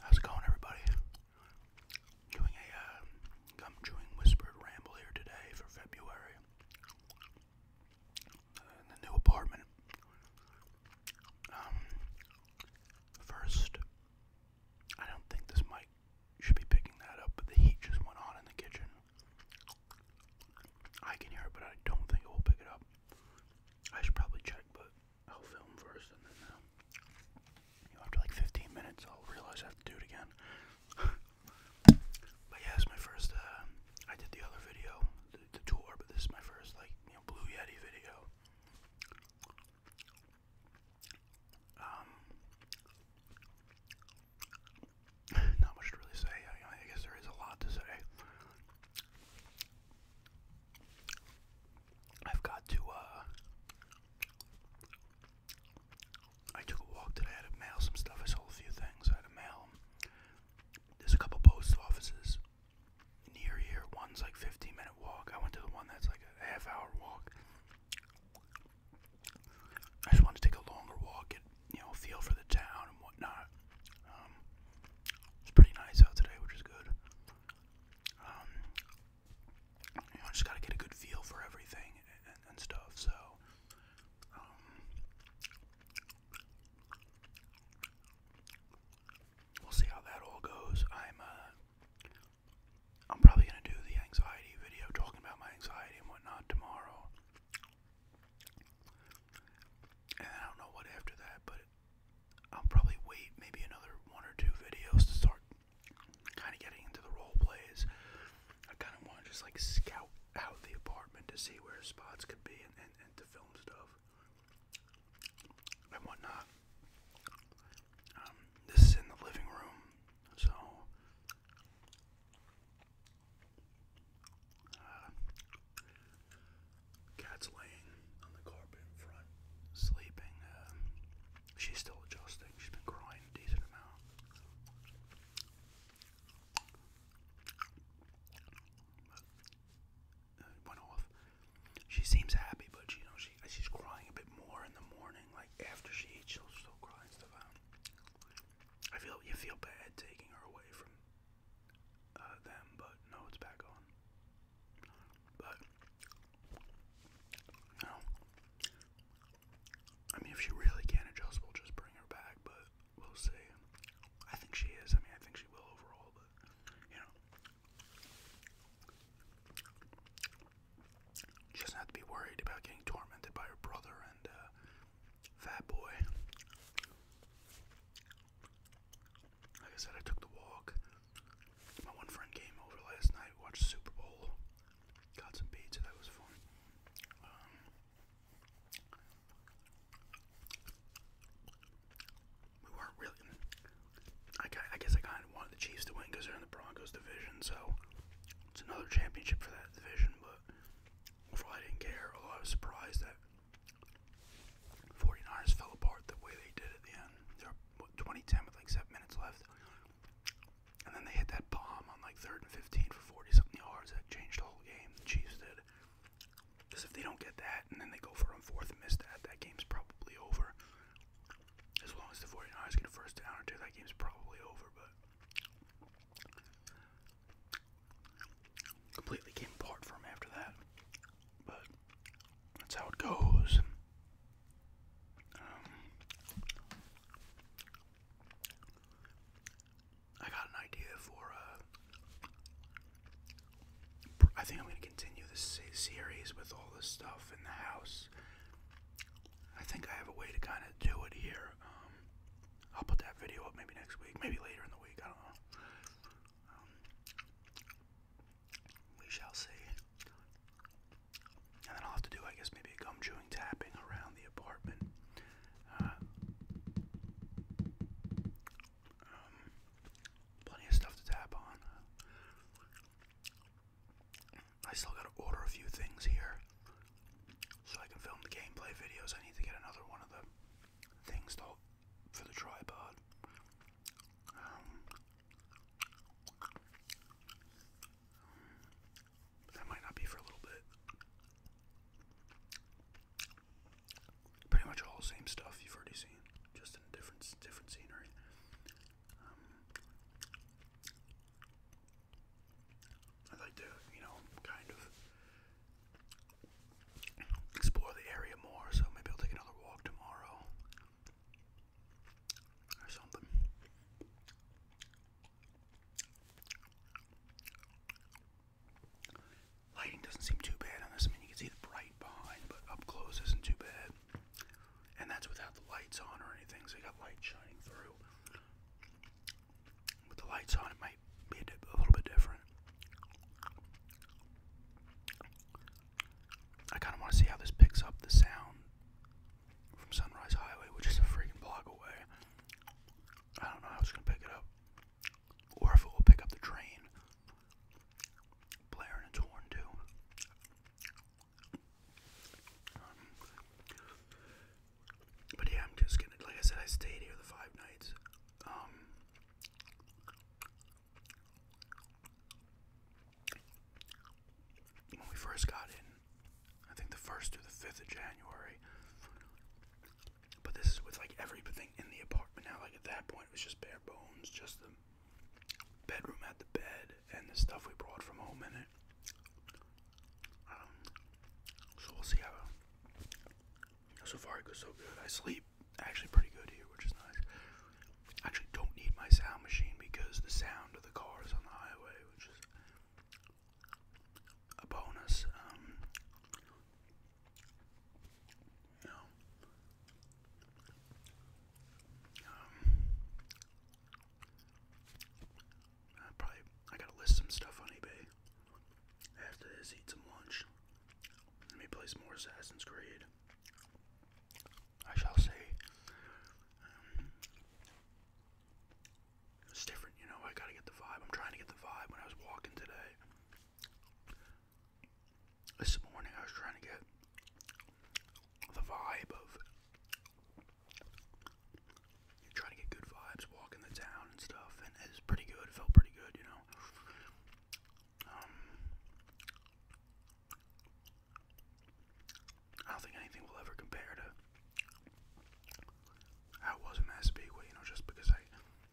How's it going, everybody? Doing a uh, gum chewing whispered ramble here today for February the new apartment. Um, first, I don't think this mic should be picking that up, but the heat just went on in the kitchen. I can hear it, but I don't think it will pick it up. I should probably check, but I'll film first, and then uh, you know, after like 15 minutes, I'll realize I have to do it again. but yeah, it's my first. Uh, I did the other video, the, the tour, but this is my first like you know Blue Yeti video. Um, not much to really say. I, guess there is a lot to say. I've got to, uh, I took a walk today. I had to mail some stuff. I sold a few things. I had to mail There's a couple post offices near here. One's like 15 minute walk. I went to the one that's like a half hour walk. I just wanted to take a longer walk, you know, feel for the town and whatnot. Um, it's pretty nice out today, which is good. Um, you know, I just gotta get a good feel for everything and, and, and stuff. So, um, we'll see how that all goes. I'm, uh, I'm probably gonna do the anxiety video, talking about my anxiety and whatnot tomorrow. And I don't know what after that, but I'll probably wait maybe another one or two videos to start kind of getting into the role plays. I kind of want to just like scout out the apartment to see where spots could be and, to film stuff and whatnot. Um, this is in the living room, so uh, cat's laying on the carpet in front, sleeping. Uh, she's still adjusting. She's been crying a decent amount. Uh, went off. She seems happy, but you know she she's crying a bit more in the morning. Like after she eats, she'll still cry and stuff I feel you feel bad taking her away from uh, them, but no, it's back on. But you I mean, if she really can't adjust, we'll just bring her back. But we'll see. I think she is. I mean, I think she will overall, but you know, she doesn't have to be worried about getting tormented by her brother and uh, Fat boy. Like I said, I took the walk. My one friend came over last night, watched Super Bowl, got some pizza. That was fun. Um, we weren't really. I, I guess I kind of wanted the Chiefs to win because they're in the Broncos division, so it's another championship for that division. But but overall, I didn't care. Although I was surprised that 49ers fell apart the way they did at the end. They're 2010 with like seven minutes left, and then they hit that bomb on like third and 15 for 40 something yards that changed the whole game. The Chiefs did. Because if they don't get that, and then they go for it on fourth and miss that, that game's probably over. As long as the 49ers get a first down or two, that game's probably over. But completely came apart from after that. But that's how it goes. Um, I got an idea for uh, I think I'm gonna continue this series with all this stuff in the house. I think I have a way to kind of do it here. Um, I'll put that video up maybe next week, maybe later in the week. I don't know. Um, we shall see. And then I'll have to do, I guess, maybe gum chewing tapping around the apartment. Uh, um, plenty of stuff to tap on. I still gotta order a few things here so I can film the gameplay videos. I need to get another one of the things to, for the tripod. Um, that might not be for a little bit. Pretty much all the same stuff you've already seen, just in different different scenery. Um, I'd like to, you know, kind of explore the area more, so maybe I'll take another walk tomorrow or something. Lighting doesn't seem too bad on this. I mean, you can see the bright behind, but up close isn't too bad. And that's without the lights on or anything, so you got light shining through with the lights on, it might be a, little bit different. I kind of want to see how this picks up the sound from Sunrise Highway, which is a freaking block away. I don't know how it's going to pick it up, or if it will pick up the train blaring its horn too. Um, but yeah, I'm just gonna, like I said, I stayed here the five nights. Um, when we first got in, I think the first to the fifth of January. But this is with like everything in the apartment now. Like at that point, it was just bare bones, just the bedroom had the bed, and the stuff we brought from home in it. Um, so we'll see how. So far it goes so good. I sleep actually pretty good here, which is nice. actually don't need my sound machine because the sound of the cars on the highway, which is a bonus. Um, you know, um, I probably I gotta list some stuff on eBay. After this, eat some lunch. Let me play some more Assassin's Creed. I shall say. Um, it's different, you know. I gotta get the vibe. I'm trying to get the vibe when I was walking today. This morning, I was trying to get the vibe of you're trying to get good vibes, walking the town and stuff, and it's pretty good. It felt pretty good, you know. Um, I don't think anything will ever compare to how it was in Massapequa, you know, just because I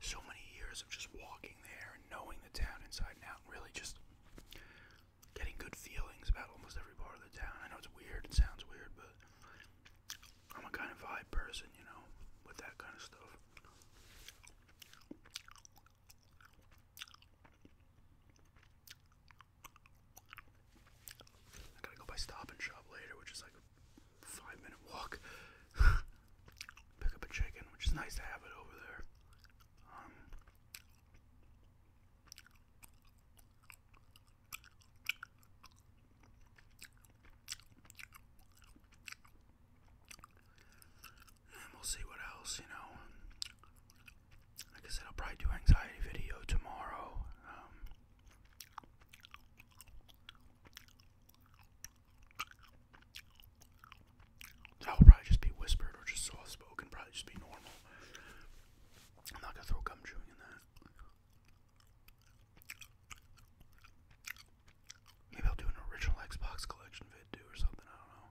so many years of just walking there and knowing the town inside and out, and really just getting good feelings about almost every part of the town. I know it's weird, it sounds weird, but I'm a kind of vibe person, you know, with that kind of stuff. I gotta go by Stop and Shop later, which is like a five minute walk. Pick up a chicken, which is nice to have it over there. Um, and we'll see what else, you know. Like I said, I'll probably do anxiety video tomorrow. Um, that will probably just be whispered or just soft spoken, probably just be normal. I'm not gonna throw gum chewing in that. Maybe I'll do an original Xbox collection vid or something, I don't know.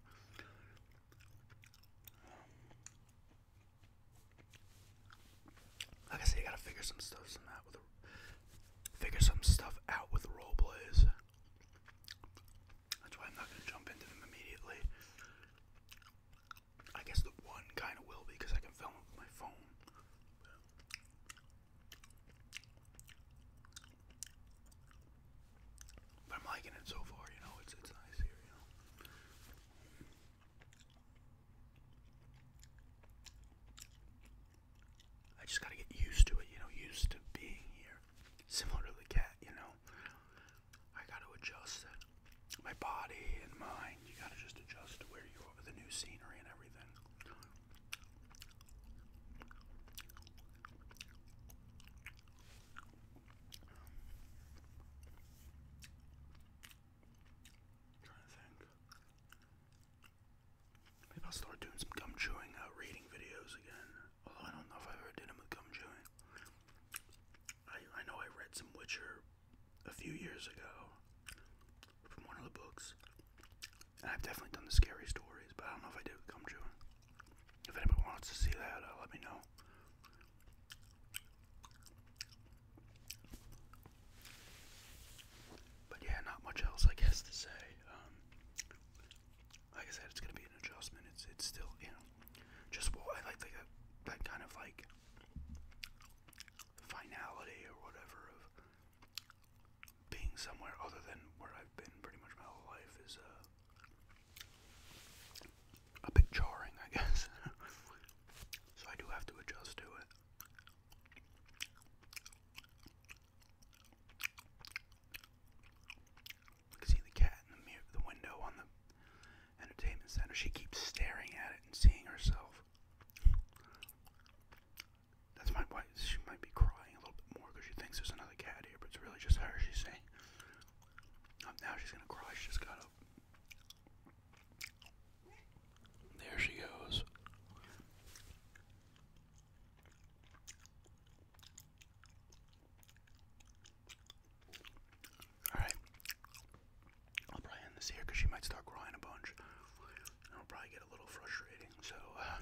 Like I say, gotta figure some stuff out with figure some stuff out with role plays. That's why I'm not gonna jump into them immediately. I guess the one kind of will be because I can film it with my phone. But I'm liking it so far, you know, it's it's nice here, you know. I just gotta get used to it, you know, used to being here. Similar to the cat, you know. I got to adjust My body and mind, you got to just adjust to where you are, the new scenery and everything. trying to think. Maybe I'll start doing some gum chewing uh, reading videos again. Although I don't know if I ever did them gum chewing. I, I know I read some Witcher a few years ago from one of the books. I've definitely done the scary stories, but I don't know if I did come true. If anybody wants to see that, uh, let me know. But yeah, not much else I guess to say. Um, like I said, it's gonna be an adjustment. It's it's still you know, just what I like like that, uh, that kind of like finality or whatever of being somewhere other than where I've been pretty much my whole life is uh, a bit jarring, I guess. so I do have to adjust to it. You can see the cat in the, window on the entertainment center. She keeps staring at it and seeing herself. That's my wife. She might be crying a little bit more because she thinks there's another cat here, but it's really just her. She's saying, um, "Now she's gonna cry. She just got up." There she goes. Alright. I'll probably end this here because she might start crying a bunch. it'll probably get a little frustrating. So, uh,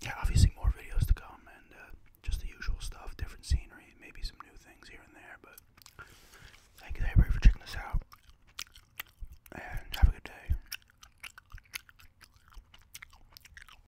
yeah, obviously more videos to come and uh, just the usual stuff, different scenery, maybe some new things here and there. But thank you everybody for checking this out. And have a good day.